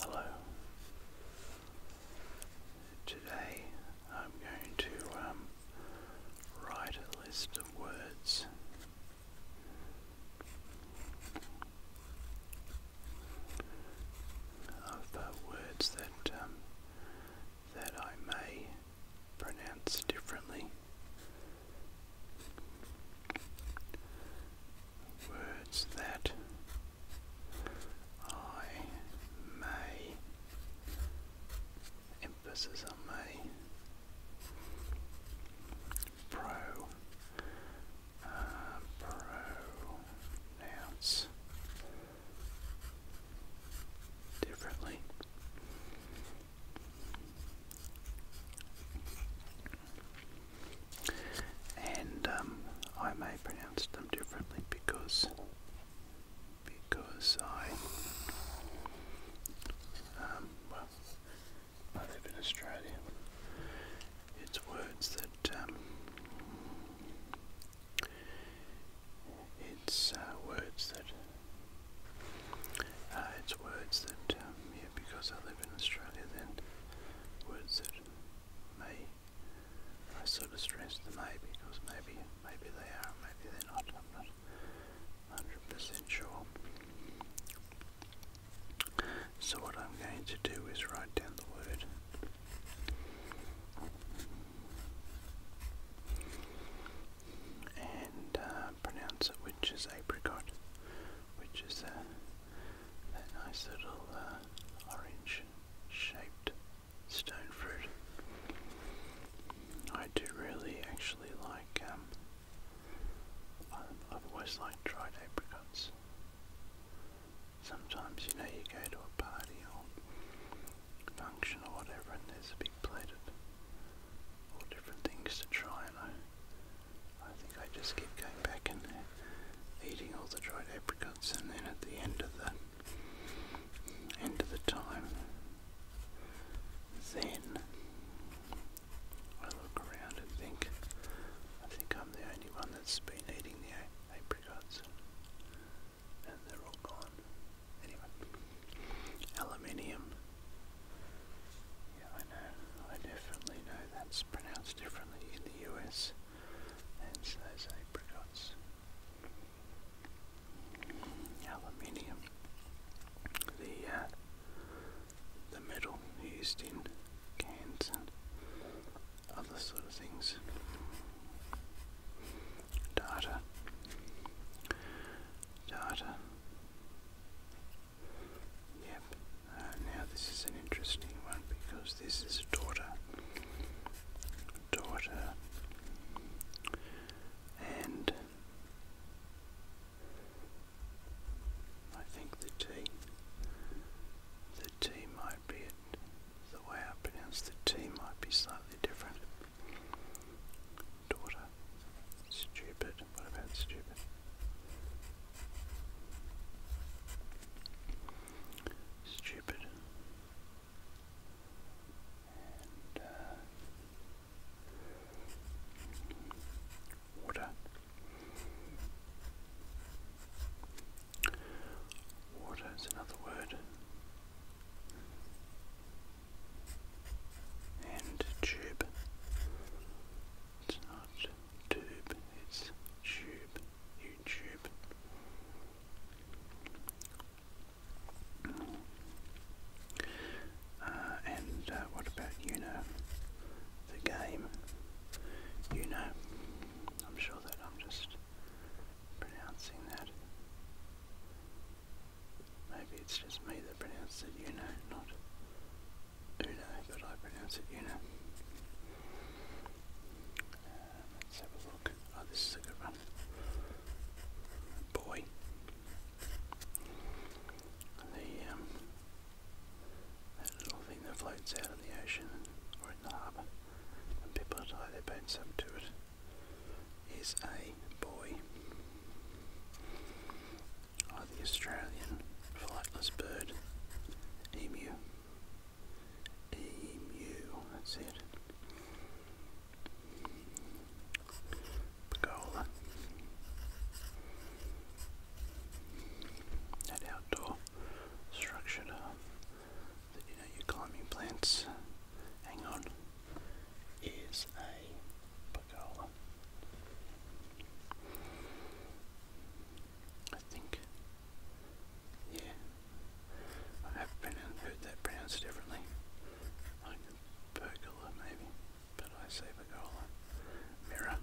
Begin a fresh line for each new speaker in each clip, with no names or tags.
Hello. Today I'm going to um, write a list of words. Of uh, words that um, that I may pronounce differently, words that I may, emphasis on may, pro, uh, pronounce differently. And um, I may pronounce them differently because because I um, well I live in Australia. It's words that um, it's uh, words that uh, it's words that um, because I live in Australia then words that may. I sort of stress the may because maybe, maybe they are, maybe they're not. I'm not 100% sure. So what I'm going to do is write down the word. And uh, pronounce it, which is apricot, which is a that nice little uh, orange shaped stone fruit. I do really actually like, um, I've always liked dried apricots. Sometimes, you know, you go to a party or function or whatever and there's a big plate of all different things to try and I I think I just keep going back and eating all the dried apricots, and then at the end of the end of the time, then I look around and think, I think I'm the only one that's been eating the apricots, and they're all gone. Anyway, aluminium. Yeah, I know. I definitely know that it's pronounced differently in the US and so those apricots. Aluminium. The uh, the metal used in cans and other sort of things. Data. Data. Yep. Uh, now this is an interesting one because this is a daughter. Daughter. And I think the T. The T might be it. The way I pronounce the T might be slightly different. Daughter. Stupid. What about stupid? Stupid. Uh, water. Water is another word. And tube. It's not tube, it's tube. YouTube. Uh, and uh, what about Uno, the game? Uno, I'm sure that I'm just pronouncing that. Maybe it's just me that pronounces it Uno, not Uno, but I pronounce it Uno. Um, let's have a look. Oh, this is a good one. Boy. The, um, little thing that floats out in the ocean or in the harbour and people tie their boats up to it is a buoy. Oh, the Australian flightless bird, emu. Emu, that's it. Pergola. That outdoor structure you know your climbing plants hang on is a pergola. I think. Yeah. I have pronounced, heard that pronounced differently. Like pergola maybe, but I say pergola. Mirror.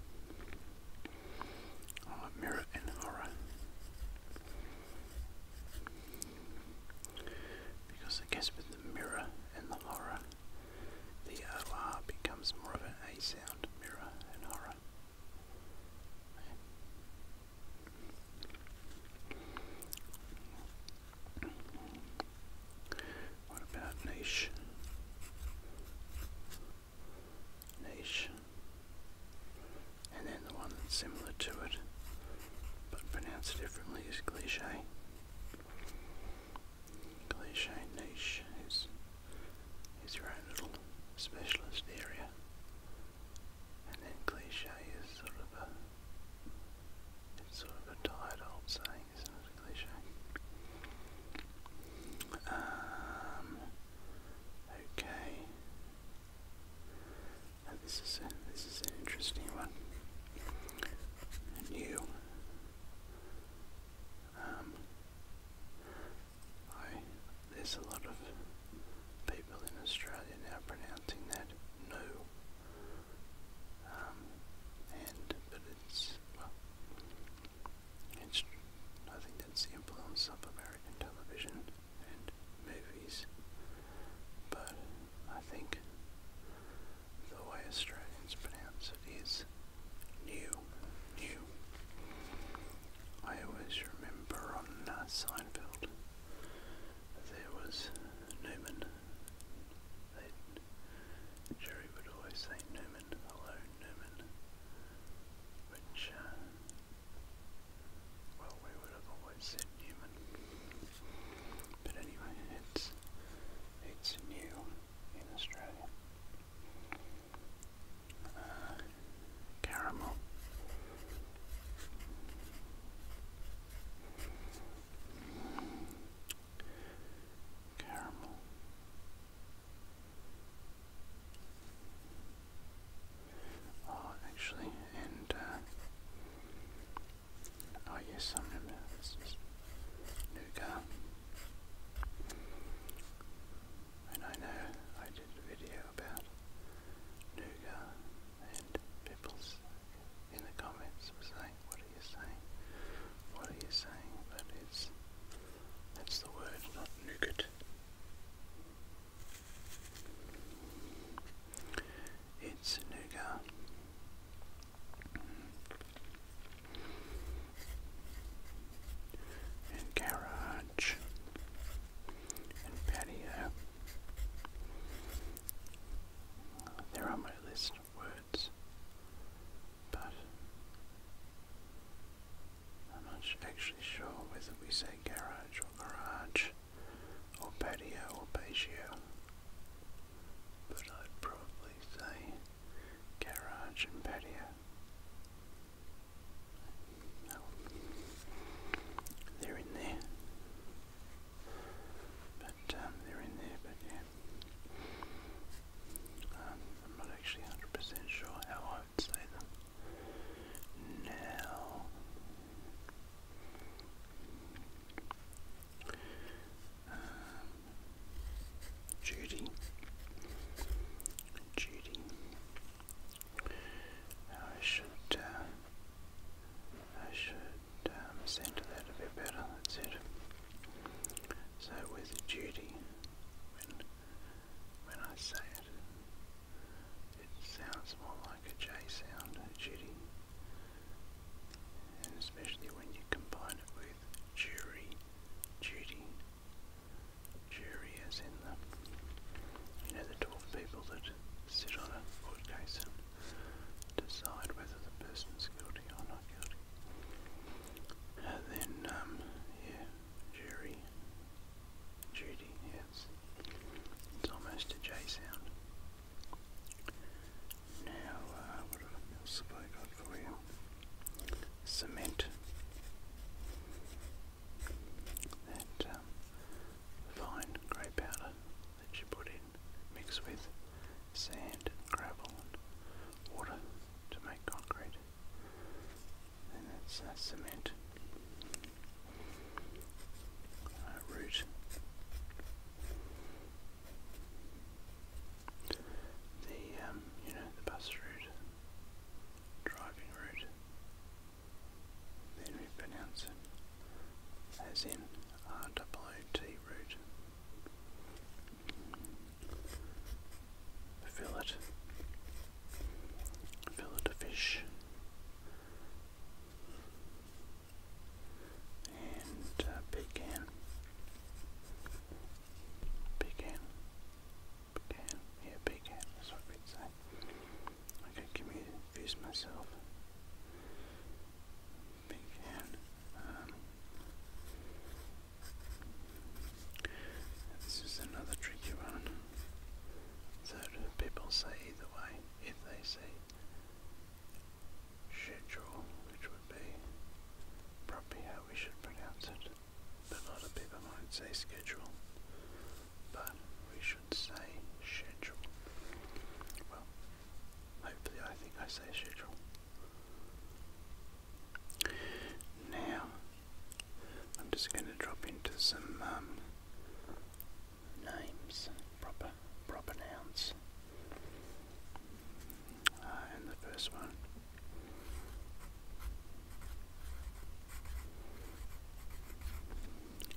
Oh, mirror and horror. Because I guess with the mirror and the horror, the OR becomes more of an A sound, mirror and horror. What about niche? Niche. And then the one that's similar to it, but pronounced differently is cliche. Cliche niches. It's your own little specialist area. And then cliche is sort of a sort of a tired old saying, isn't it? cliche. Um, okay. this is this is an interesting one. New. Oh, there's a lot of people in Australia now pronouncing that no. Um, and, but it's, well, it's, I think that's the influence of American television and movies. But I think the way Australians pronounce it is new, new. I always remember on uh, Seinfeld there was Newman. They'd, would always say Newman, hello Newman, which, uh, well, we would have always said Newman. But anyway, it's, it's new in Australia caramel. Caramel. Oh, actually, and uh, oh yes, I remember this is nougat. And I know I did a video about Nuga and people in the comments what are you saying? What are you saying? But it's, that's the word, not nougat. It's nougat. And garage and patio. Uh, they're my list words, but I'm not actually sure whether we say garage or garage or patio or patio. But I'd probably say garage and patio. They're in there. But um, they're in there, but yeah. Um, I'm not actually 100% sure how I would say them. Now, um, Judy, Judy, I should, uh, I should um, center that a bit better, that's it. So with duty, when, when I say it, it sounds more like a J sound, a And especially when you combine it with jury, duty, jury as in the, you know, the 12 people that sit on a court case and decide whether the person's guilty or not guilty. And then, um, yeah, jury, duty, yeah, it's, it's almost a J sound. Now, uh, what else have I got for you? Cement. That um, fine grey powder that you put in, mix with sand, gravel, and water to make concrete. And that's uh, cement. Uh, root. The um, you know the bus route, driving route, then we pronounce it as in R-O-O-T root. Fillet. Fillet of fish. And uh, pecan. Pecan. Pecan. Yeah, pecan. That's what we'd say. I get confused myself. Big hand. Um, this is another tricky one. So do people say either way? If they say schedule, which would be probably how we should pronounce it, but a lot of people might say schedule, but we should say schedule. Well, hopefully, I think I say schedule. Now, I'm just going to drop into some um, names, proper proper nouns. Uh, and the first one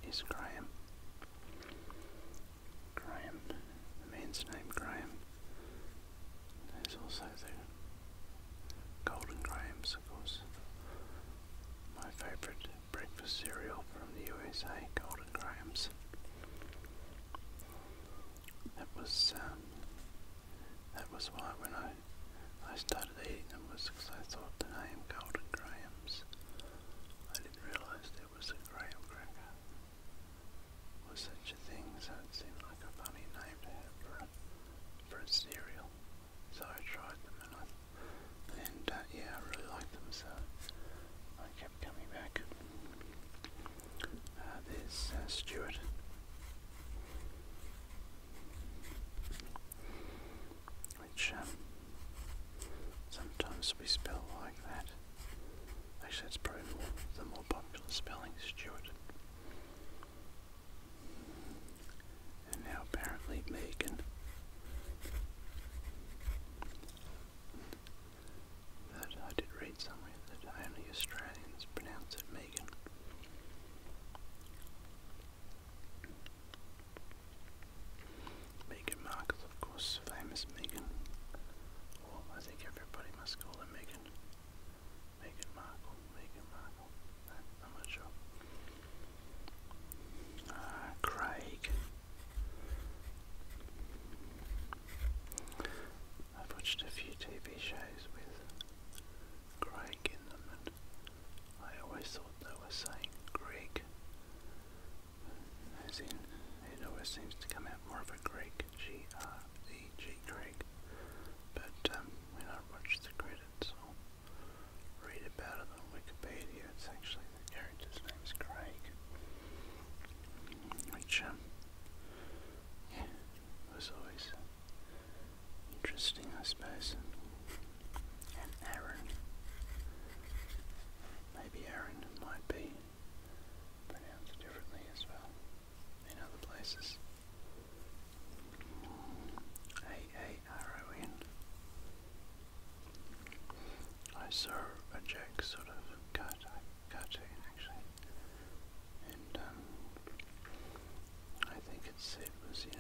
is Graham. Graham, the man's name Graham. There's also the Golden Grahams, of course. My favourite breakfast cereal from the USA, Golden Grahams. That was um, that was why when I I started Saturday number six I thought the name Golden Grahams. I didn't realise it was a graham cracker. Was such a thing, so it seemed like a funny name to have for a, for a cereal. So I tried them and uh, yeah, I really liked them so I kept coming back. Uh, there's uh, Stuart which um, sometimes we spell like that. Actually, that's probably more, the more popular spelling, Stuart. And now apparently Megan. That I did read somewhere that only Australians pronounce it Megan. Meghan Markle, of course, famous Meghan. I think everybody must call her Meghan. Meghan Markle, Meghan Markle. I'm not sure. Ah, Craig. I've watched a few TV shows with Craig in them I always thought they were saying Greek, as in it always seems to come out more of a Greek, G R E G Greek. But um, when I watch the credits or read about it on Wikipedia, it's actually the character's name's Craig, which um, was always interesting, I suppose and Aaron. Maybe Aaron might be pronounced differently as well in other places. A-A-R-O-N. I saw a Jack sort of cartoon, cartoon actually, and um, I think it's said was, you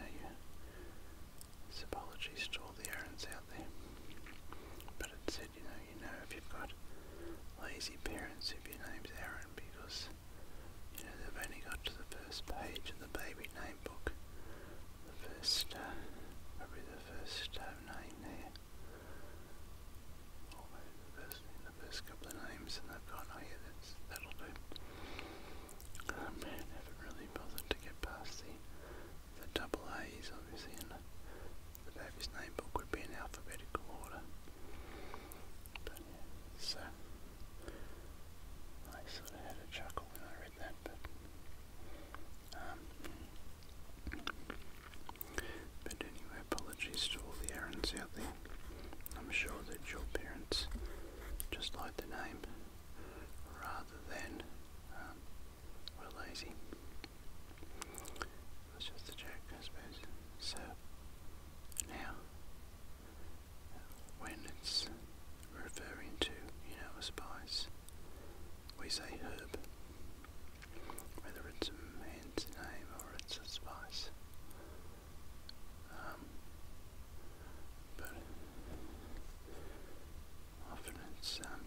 Symbology stole the errands out there. But it said, you know, you know if you've got lazy parents, if your name's Aaron, because, you know, they've only got to the first page of the baby name book. The first, uh, probably the first uh, name there. Or maybe the first, the first couple of names, and they've gone, oh yeah, that's, that'll do. Um, I really bothered to get past the, the double A's obviously the Davies name book would be in alphabetical order. so I sort of had a chuckle when I read that, um, but anyway, apologies to all the errands out there. I'm sure that your parents just like the name rather than um, we're lazy. That's just a joke, I suppose. So now, when it's referring to, you know, a spice, we say herb, whether it's a man's name or it's a spice. Um, but often it's, um,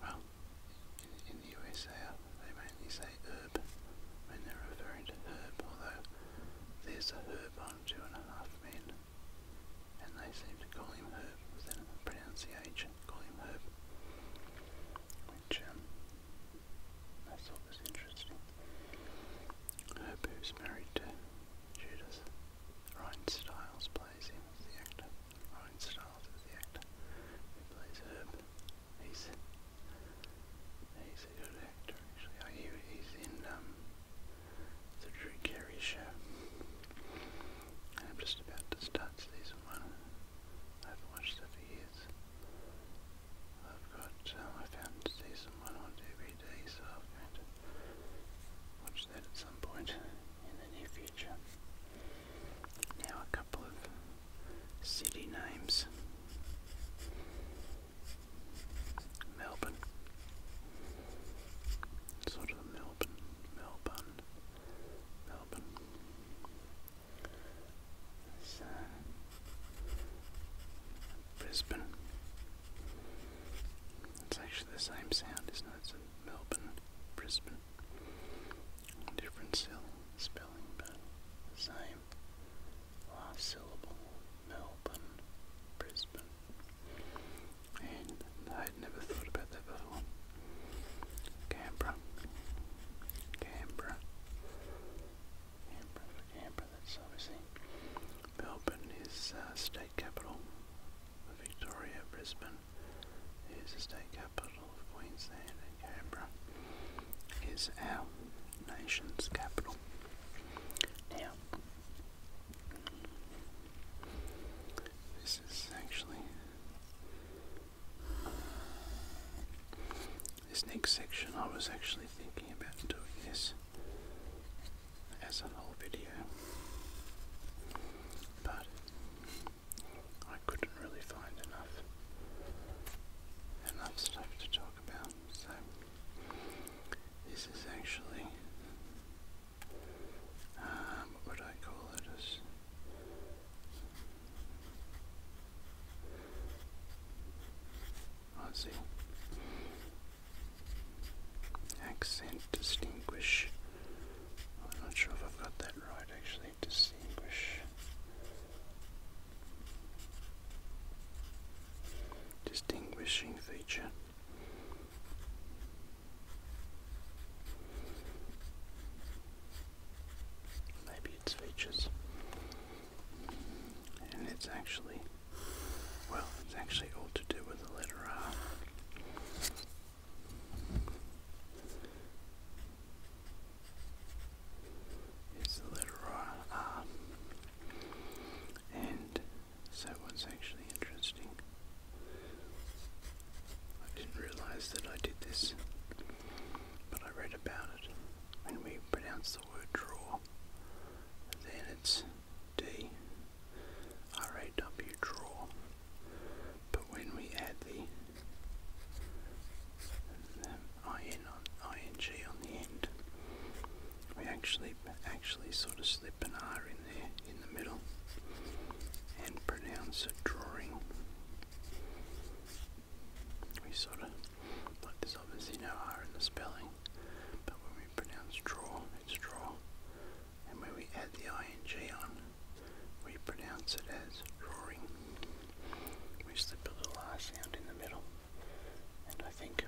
well, in, in the USA uh, they mainly say herb when they're referring to herb, although there's a herb on two and a half men, and they seem to call him herb, within the pronunciation, call him herb, which, um, I thought was interesting. Herb who's married to Judas. Ryan Stiles plays him as the actor. Ryan Stiles is the actor who plays Herb. He's he's a good actor actually. I oh, hear he's in um, the Drew Carey show. And I'm just about to start season one. I haven't watched that for years. I've got um, I found season one on DVD three days after Watch that at some point in the near future. Now a couple of city names. Melbourne. Sort of Melbourne. Melbourne. Melbourne. Uh, Brisbane. It's actually the same sound, isn't Melbourne, Brisbane. Different spelling, but same. Last syllable, Melbourne, Brisbane. And I'd never thought about that before. Canberra. Canberra. Canberra Canberra, that's obviously. Melbourne is uh, state capital Victoria, Brisbane is the state capital of Queensland Canberra is our nation's capital. Now, this is actually, uh, this next section I was actually thinking about doing this as a whole video, but I couldn't really find enough enough stuff to talk about. So this is actually um, what would I call it as Aussie Accent distinguish. I'm not sure if I've got that right actually. Distinguish. Distinguishing feature. Maybe it's features. And it's actually, well, it's actually all to do with the letter R is the letter R. And so what's actually interesting, I didn't realise that I did this, but I read about it. When we pronounce the word draw, then it's D R A W draw. But when we add the, um, IN on ING on the end, we actually actually sort of slip an R in there in the middle and pronounce a drawing. We sort of like there's obviously no R in the spelling, but when we pronounce draw, it's draw and when we add the ing on, we pronounce it as roaring. We slip a little R sound in the middle, and I think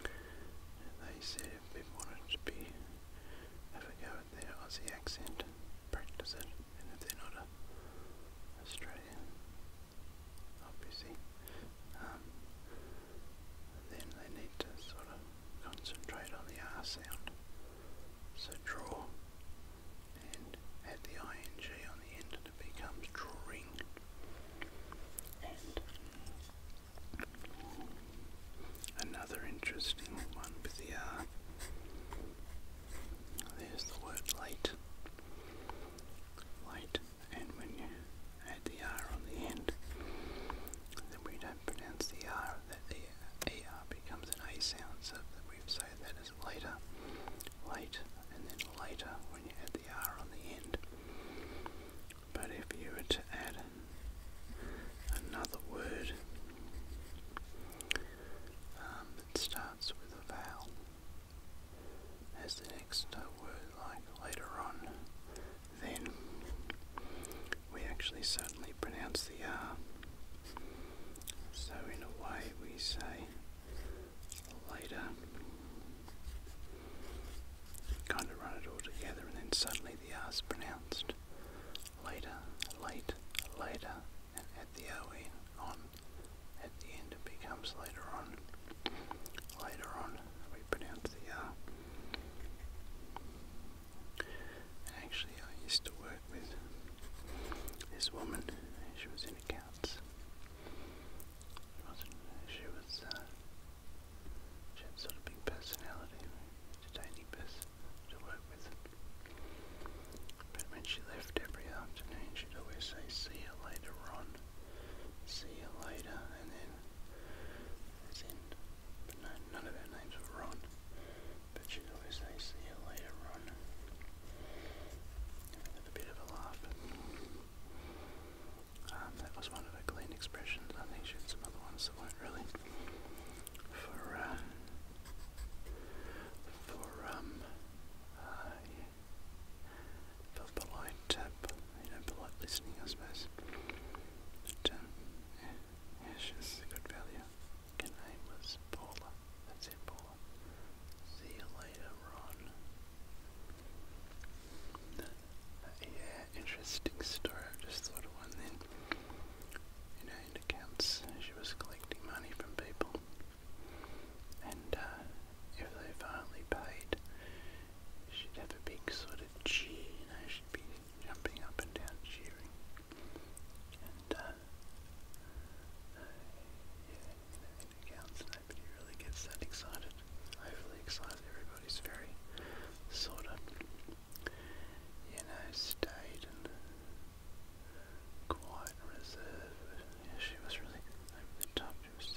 they said if people wanted to be have a go at their Aussie accent, practice it, and if they're not a Australian, obviously, um, then they need to sort of concentrate on the R sound. So draw, and add the ing on the end, and it becomes drawing. And another interesting one with the R. There's the word late. Late, and when you add the R on the end, then we don't pronounce the R that the ER becomes an A sound, so that we say that is later, late, and then later when you add the R on the end. But if you were to add another word that um, starts with a vowel as the next word, like later on, then we actually suddenly pronounce the R. So, in a way, we say later, kind of run it all together, and then suddenly the R is pronounced later, late, later, and at the OE, on, at the end it becomes later on. Later on, we pronounce the R. And actually, I used to work with this woman. She was in accounts. She wasn't. She was. Uh, she had sort of big personality, entertaining person to work with. But when she left every afternoon, she'd always say, "See you later, Ron." See you later, and then, as in, but none um, of her uh, names were Ron. But she'd always say, see you later, Ron. a bit of a laugh. that was one of her clean expressions. I think she had some other ones that weren't really for, for, um, uh, yeah, for um, uh, you know, polite Ash good value. Her name was Paula. That's it, Paula. See you later, Ron. yeah, interesting story. I just thought of one then. You know, accounts she was collecting money from people. And uh, if they finally paid, she'd have a big sort of cheer, you know, she be jumping up and down, cheering, and uh, uh, yeah, you know, it counts. Nobody really gets that excited. Overly excited. Everybody's very sort of, you know, staid and quiet and reserved. Yeah, she was really over the top. She was.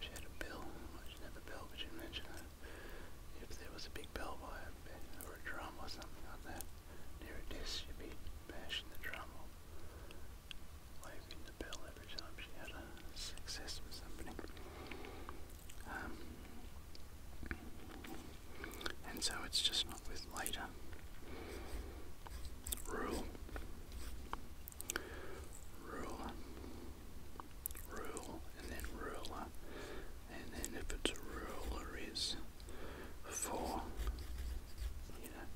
She had a bill. Well, she didn't have a bill, but she mentioned that if there was a big bell wire or a drum or something like that near a desk, she'd be bashing the drum waving the bell every time she had a success with somebody. Um, and so it's just not with later rule, ruler, rule, and then ruler, and then if it's a ruler is for, you know,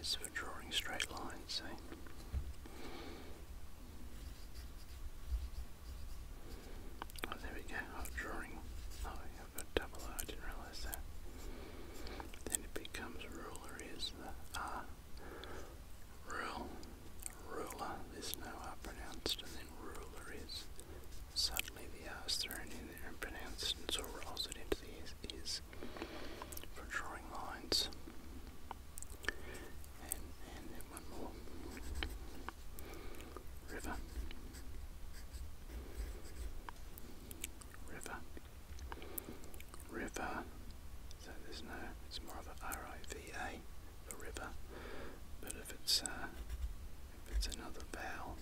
is for drawing straight lines, see? Oh, there we go, oh, drawing, oh, I've got double O, I didn't realise that. Then it becomes ruler is the R, uh, rule, ruler, there's no R pronounced, and then ruler is. Suddenly the R's thrown in there and pronounced, and so rolls it into the is for drawing lines. And, and then one more. River. River. River. So there's no, it's more of a R-I-V-A for river, but if it's uh, if it's another vowel,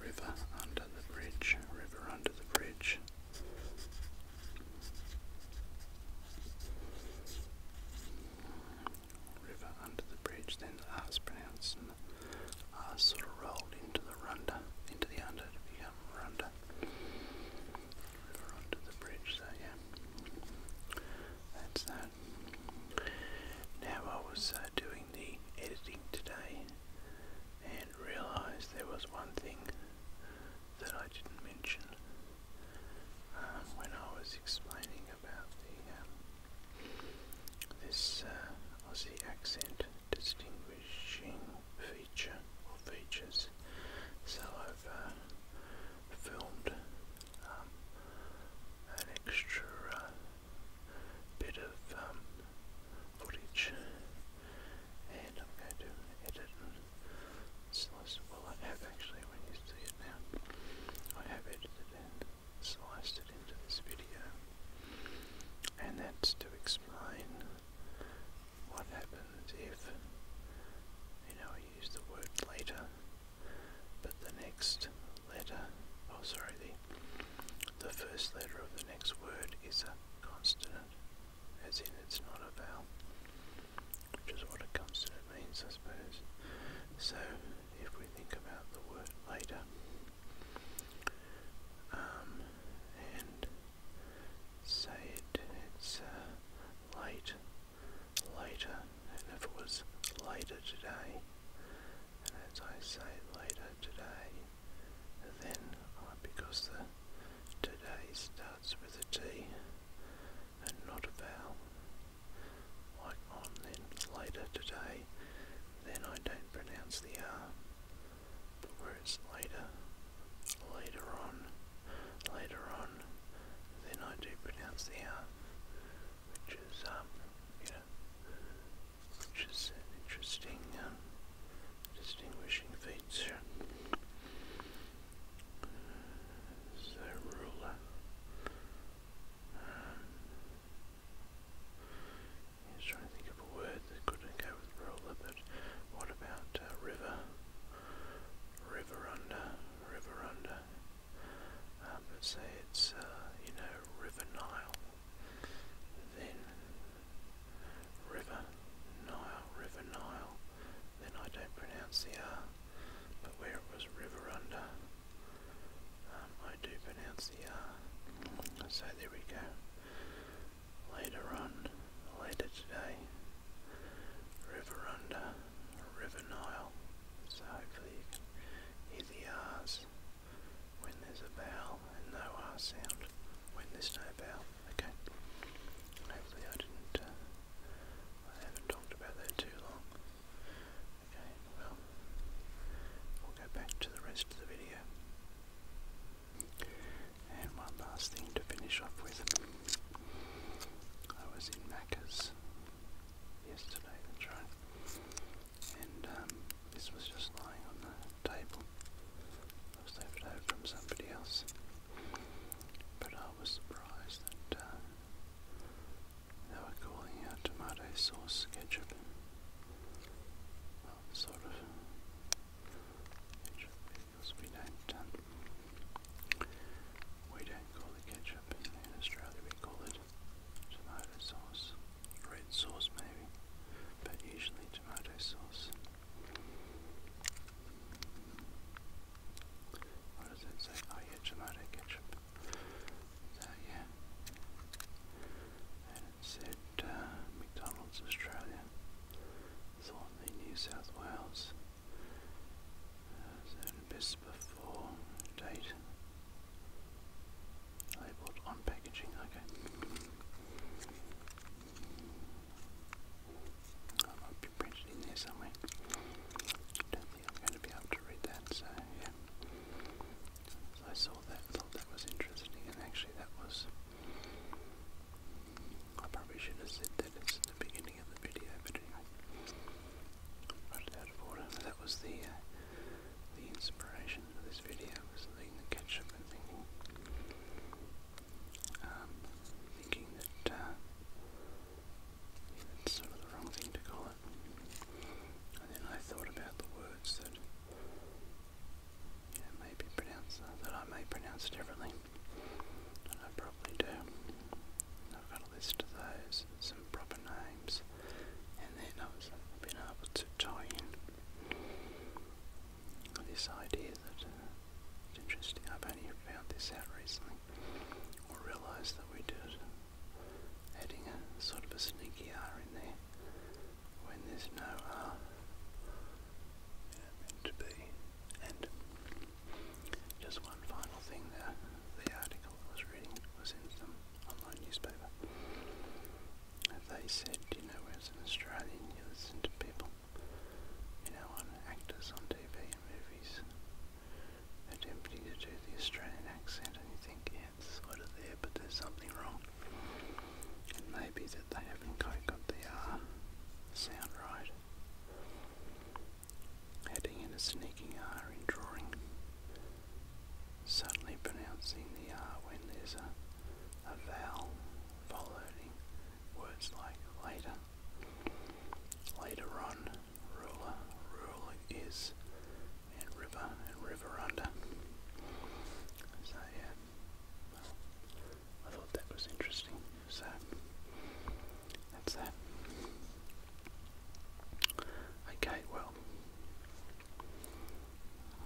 river under the bridge, river under the bridge. River under the bridge, then the R is pronounced R sort of rolled into the runda, into the under to become runda. River under the bridge, so yeah. That's that. Now, I was uh, doing the editing today and realised there was one thing that I didn't mention uh, when I was explaining about the um, this uh, Aussie accent distinguishing feature or features. So I've filmed um, an extra uh, bit of um, footage, and I'm going to edit slice. Well, I have actually, when you see it now, I have edited and sliced it into this video, and that's to explain what happens if you know I use the word later but the next letter, oh sorry, the, the first letter of the next word is a consonant, as in it's not a vowel, which is what a consonant means, I suppose. So, if we think about the word later, um, and say it, it's uh, late later, and if it was later today, and as I say later today, then because the today starts with a T and not a vowel, like on then later today, then I don't pronounce the R, but where it's later, later on, later on, then I do pronounce the R which is, um, you know, which is an interesting um, distinguishing feature. So ruler um, trying to think of a word that could go with ruler, but what about uh, river? River under, river under uh, um, but say it's, uh, you know, River Nile, then River Nile, River Nile, then I don't pronounce the R, but where it was River Under, um, I do pronounce the R. So there we go. Later on, later today, River Under, River Nile. So hopefully you can hear the R's when there's a vowel and no R ah sound when there's no vowel. Okay. Hopefully I didn't, uh, I haven't talked about that too long. Okay, well, we'll go back to the rest of the video. And one last thing to finish off with. I was in Macca's yesterday, right. And um, this was just lying on the table. I from somebody else. But I was surprised that uh, they were calling out tomato sauce ketchup. Well, sort of. Ketchup, because we don't, um, we don't call it ketchup. In Australia we call it tomato sauce, red sauce maybe, but usually tomato sauce. What does it say? Oh yeah, tomato ketchup. yeah. And it said uh, McDonald's Australia, Thornley, New South Wales. Uh, so best before date Labeled on packaging, okay. I might be printed in there somewhere. Don't think I'm going to be able to read that, so yeah. I saw that, thought that was interesting, and actually that was. I probably should have said that it's the beginning of the video, but anyway put That was the uh, the inspiration for this video was seeing the ketchup and thinking, um, thinking that uh, sort of the wrong thing to call it. And then I thought about the words that you may be pronounced uh, that I may pronounce differently, I probably do. I've got a list of those, some proper names, and then I've been able to tie in this idea that uh, it's interesting. I've only found this out recently, or realised that we do it, adding a sort of a sneaky R in there when there's no R. to be. And just one final thing there the article I was reading was in some online newspaper. They said, you know, as an Australian, you listen to people, you know, on actors on TV and movies attempting to do the Australian accent, and you think, it's sort of there, but there's something wrong. It may be that they haven't quite got the R uh, sound right. Adding in a sneaking R in drawing Suddenly pronouncing the R when there's a, a vowel following words like later. Later on, ruler, rule is, and river, and river under. So yeah, I thought that was interesting. So that's that. Okay, well,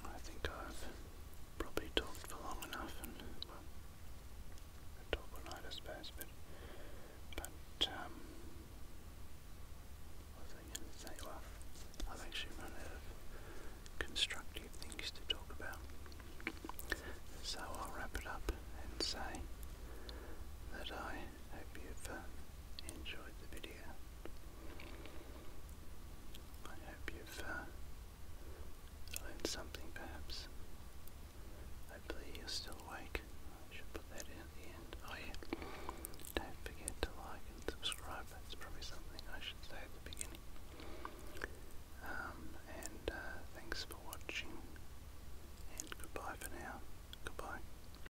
I think I've probably talked for long enough, and well, I'll talk all night, I suppose, but, but, um, say? Well, I've actually run out of constructive things to talk about, so I'll wrap it up and say that I hope you've uh, enjoyed the video. I hope you've uh, learned something perhaps. Hopefully you're still awake. I should put that in the end. Oh yeah, don't forget to like and subscribe. That's probably something I should say at the beginning. Um, and uh, thanks for watching. And goodbye for now. Goodbye.